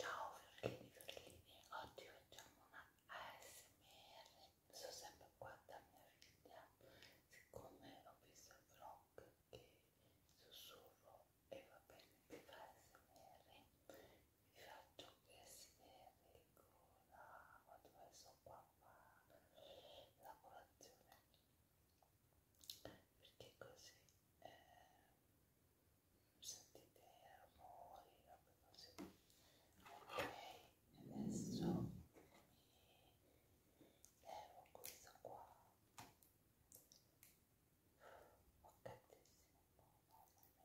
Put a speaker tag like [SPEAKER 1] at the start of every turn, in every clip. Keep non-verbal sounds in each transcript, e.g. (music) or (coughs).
[SPEAKER 1] Ciao Fiorellini, Fiorellini, oggi facciamo una ASMR, sono sempre qua da mia figlia, siccome ho visto il vlog che sussurro e va bene per ASMR, fatto che si vede quando adesso qua fa la colazione perché così eh, sentite i rumori così ok adesso mi levo questo qua ho oh, catissimo mamma mia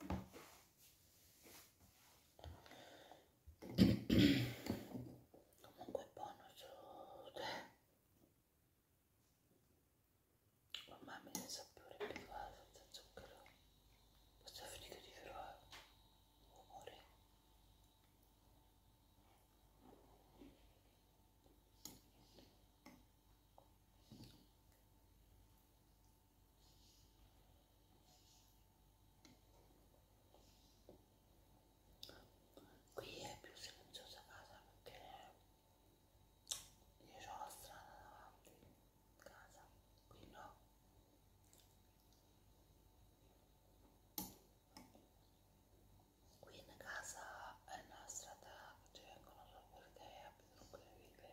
[SPEAKER 1] comunque è buono su te ormai mi ne sapore più senza zucchero questa fatica di fare umore eh qui è più silenziosa casa perché io ho la strada davanti casa qui no qui in casa è una strada ci vengono solo perché abitano quelle ville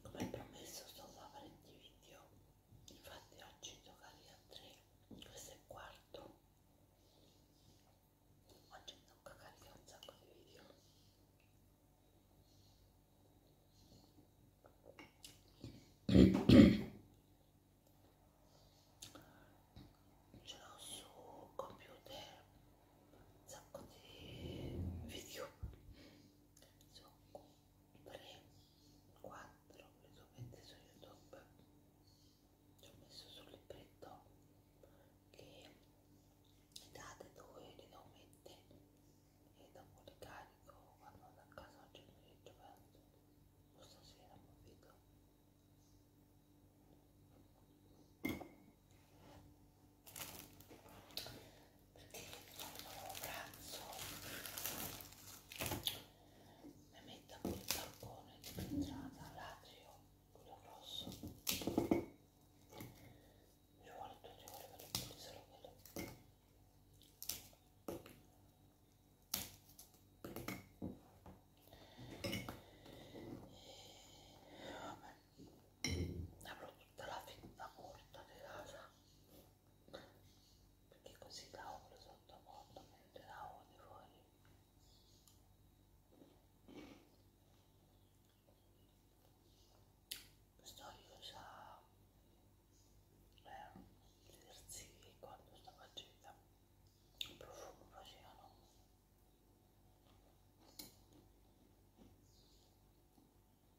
[SPEAKER 1] come promesso sto a fare di video infatti oggi giocavi a 3 questo è il quarto oggi mi tocca caricare un sacco di video ce l'ho su computer un sacco di video sono 3, 4 le tue mette su youtube ci ho messo sul libretto che le date dove le devo mettere e dopo le carico quando vado a casa oggi pomeriggio o stasera non vedo perché quando pranzo mi metto con il balcone di entrata l'atrio, quello grosso ci vuole due ore per pulizzare quello e vabbè avrò tutta la fetta corta di casa perché così la ho sotto porta mentre la ho di fuori Storio sa gli eh, esercizi quando sta facendo il profumo facevano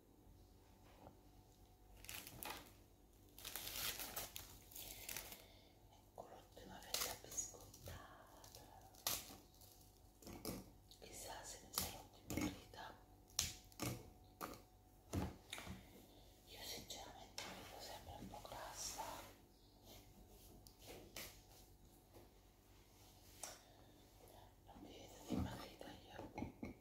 [SPEAKER 1] ecco l'ultima vela biscottata chissà se ne sarò divertita io sinceramente mi vedo sempre un po' grassa non mi vedo dimagrita io eh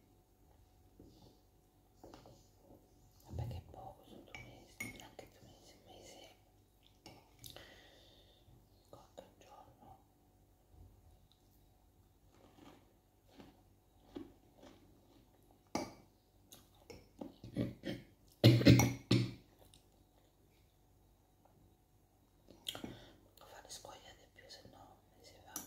[SPEAKER 1] vabbè che poco sono due mesi anche due mesi un mese qualche giorno devo fare scogliere più se no mi si fanno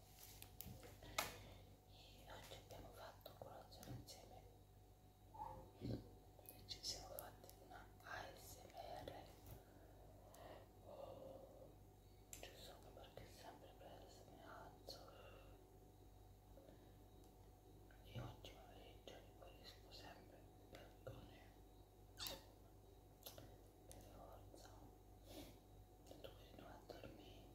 [SPEAKER 1] e oggi abbiamo fatto colazione insieme e ci siamo fatti una ASMR giusto oh, anche perché sempre preso mi alzo e oggi pomeriggio mi riesco sempre per così per forza che tu continui a dormire i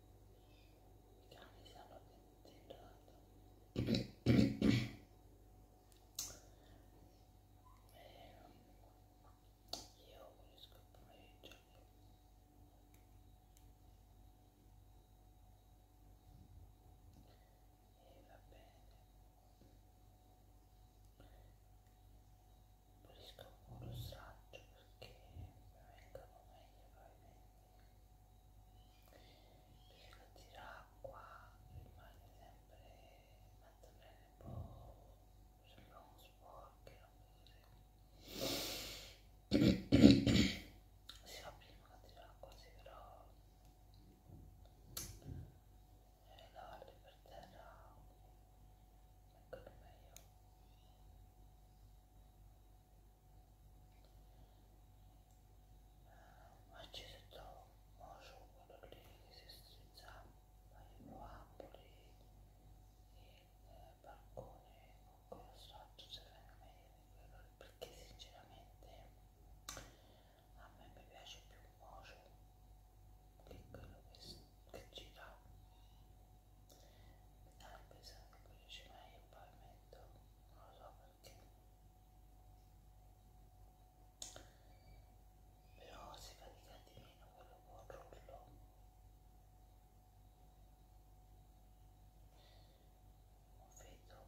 [SPEAKER 1] cani sanno che sei drogato (clears throat) io unisco il pomeriggio (clears throat) e va bene pulisco con lo straccio perché vengono meglio probabilmente riesco a tirare acqua rimane sempre fatto (clears throat) bene un po' sembra uno sporco si va prima a tirare acqua sì però eh, lavarli per terra Eccolo meglio. Ma ci si trova un quello lì che si strizza, ma io lo amo lì, il balcone con quello strato se venga meglio di quello lì, perché sinceramente a me mi piace più un mojo piccolo che gira mi dà l'impressione che quello ci mai il pavimento non lo so perché però si fatica di meno quello con rullo un vetro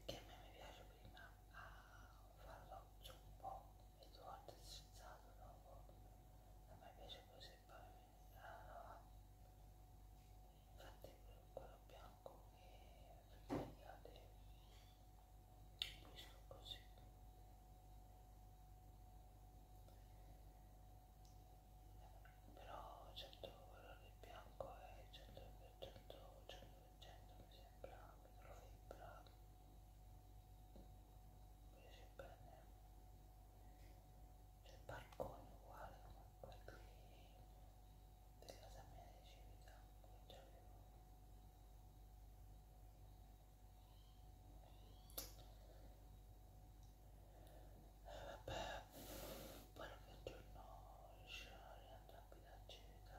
[SPEAKER 1] perché a me mi piace prima a ah, farlo un po' il tuo corpo è sensato dopo a me piace così il pavimento ah, infatti quello bianco che tagliate pulisco così però certo colore bianco è 100% 100% mi sembra microfibra invece bene c'è il balcone uguale come quello di della Samia di Civita che già avevo eh, vabbè poi qualche giorno riuscirò a rientrare qui da Civita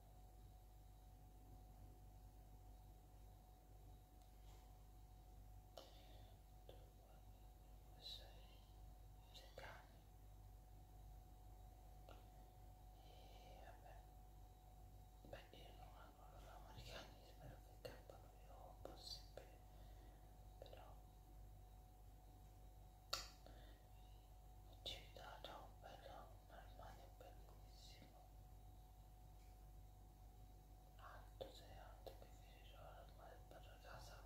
[SPEAKER 1] vabbè beh io non amo loro americani spero che cappano più possibile però Civita ha un bello, un armadio bellissimo. Alto, sei alto che finisce l'armadio per la casa.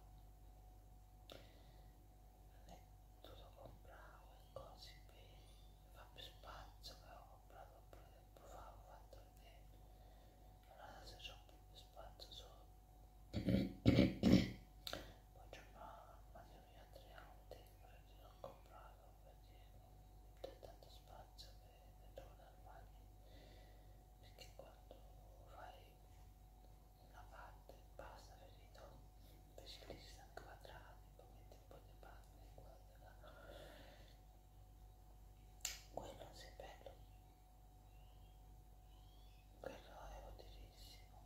[SPEAKER 1] Non è tutto compravo e così bene. Fa più spazio che ho comprato pure tempo fa, ho fatto vedere. Allora se c'ho più spazio solo. (coughs) Poi c'è un armadio mia tre auti perché l'ho comprato perché c'è tanto spazio per tornare al bagno perché quando fai una parte basta finito invece lì si sta quadrati poi metti un po' di parte quadra quello non sei bello quello è utilissimo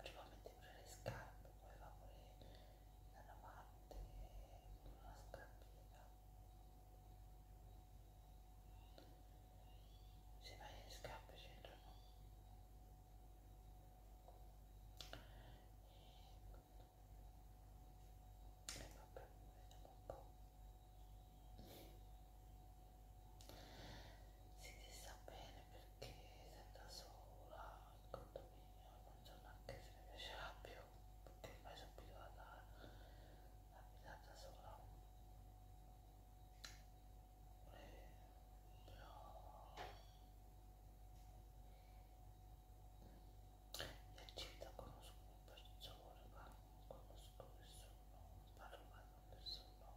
[SPEAKER 1] prima metti pure le scarpe poi va pure da davanti con una scarpina se vai le scarpe c'entrano e, e vabbè vediamo un po' si ti sta bene perché sei da sola in condominio non so neanche se mi piacerà più perché ormai sono abituata a abitare da sola e, eh, però in città conosco persone ma non conosco nessuno non parlo mai con nessuno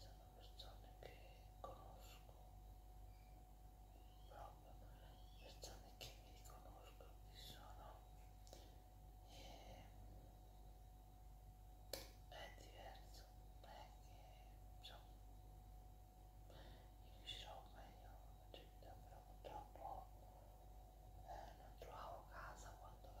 [SPEAKER 1] sono persone che conosco proprio persone che mi riconoscono che sono eh, è diverso è che insomma riuscirò meglio la città però purtroppo eh, non trovavo casa quando la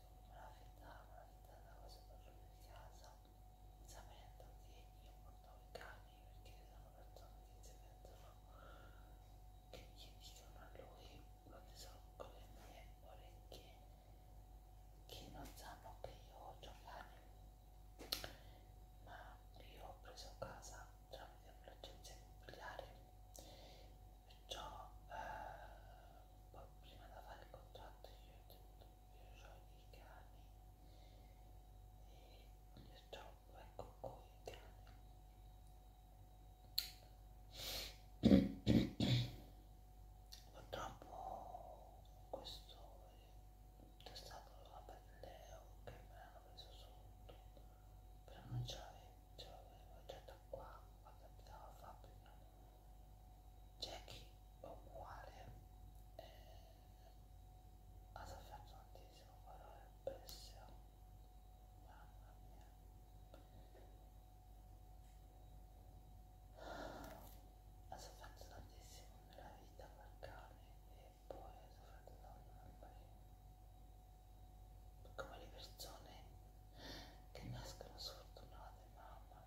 [SPEAKER 1] ma la verità, ma la verità è una cosa proprio di casa, sapendo che io portavo i cani perché sono persone che si mettono, che gli dicono a lui quando sono con le mie orecchie, che non sanno che io ho giocare. Ma io ho preso casa tramite un'agenzia immobiliare ciò eh, poi prima da fare il contratto io ho tenuto io ho i cani e io ciò vengo con i cani purtroppo questo è stato la pelle che me l'hanno preso sotto però non ce l'avevo ce l'avevo già da qua quando abitavo a Fabio non Jackie uguale eh, ha sofferto tantissimo calore pessimo mamma mia ha sofferto tantissimo nella vita per cane e poi ha sofferto tanto come le persone che nascono sfortunate mamma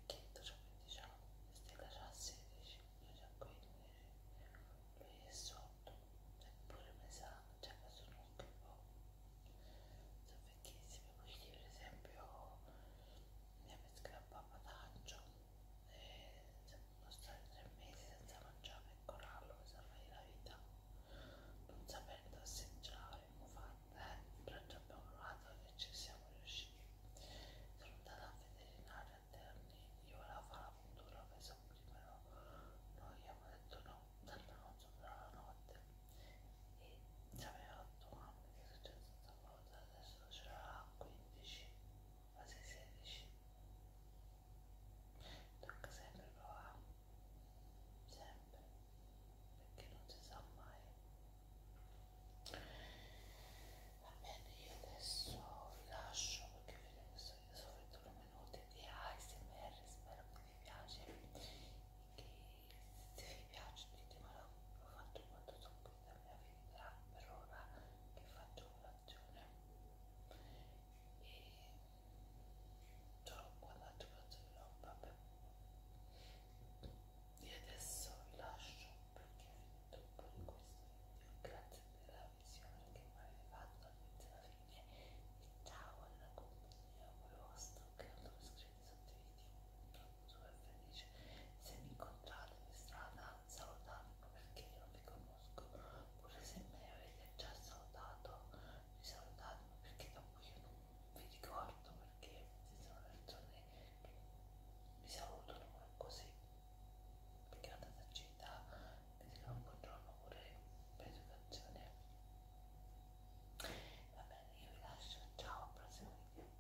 [SPEAKER 1] vecchietto già 15 anni, Stella già 16, io già 15, lui è sotto, eppure pesante, cioè questo non un po'. Sono vecchissimi, quindi per esempio mi avete scappato pataccio e sono stati tre mesi senza mangiare e corallo per salvare la vita, non sapendo assaggiare, fare braccia abbiamo provato e ci siamo riusciti. Sono andata a veterinario a Terni, io volevo fare la puntura, pensavo prima no, noi abbiamo detto no, dalla notte dalla notte e ci aveva 8 anni che è successa questa cosa, adesso ce l'ha 15, quasi 16. Tocca sempre provare, sempre, perché non si sa mai va bene io adesso vi lascio perché vedo che sono solo due minuti di ASMR spero che vi piace che se vi piace ditemelo ho fatto molto stupida mia vita per ora che faccio colazione e solo guardate colazione vabbè e adesso vi lascio perché è tutto in questo video grazie per la visione che mi avete fatto dall'inizio alla fine e ciao alla compagnia amorosa che non sono iscritti sotto i video sono super felice se mi incontrate in strada salutatemi perché io non vi conosco pure se me avete già salutato mi salutatemi perché da voi io non vi ricordo perché ci sono persone che mi salutano così perché la tacita mi dicono buongiorno pure per educazione va bene io vi lascio ciao al prossimo video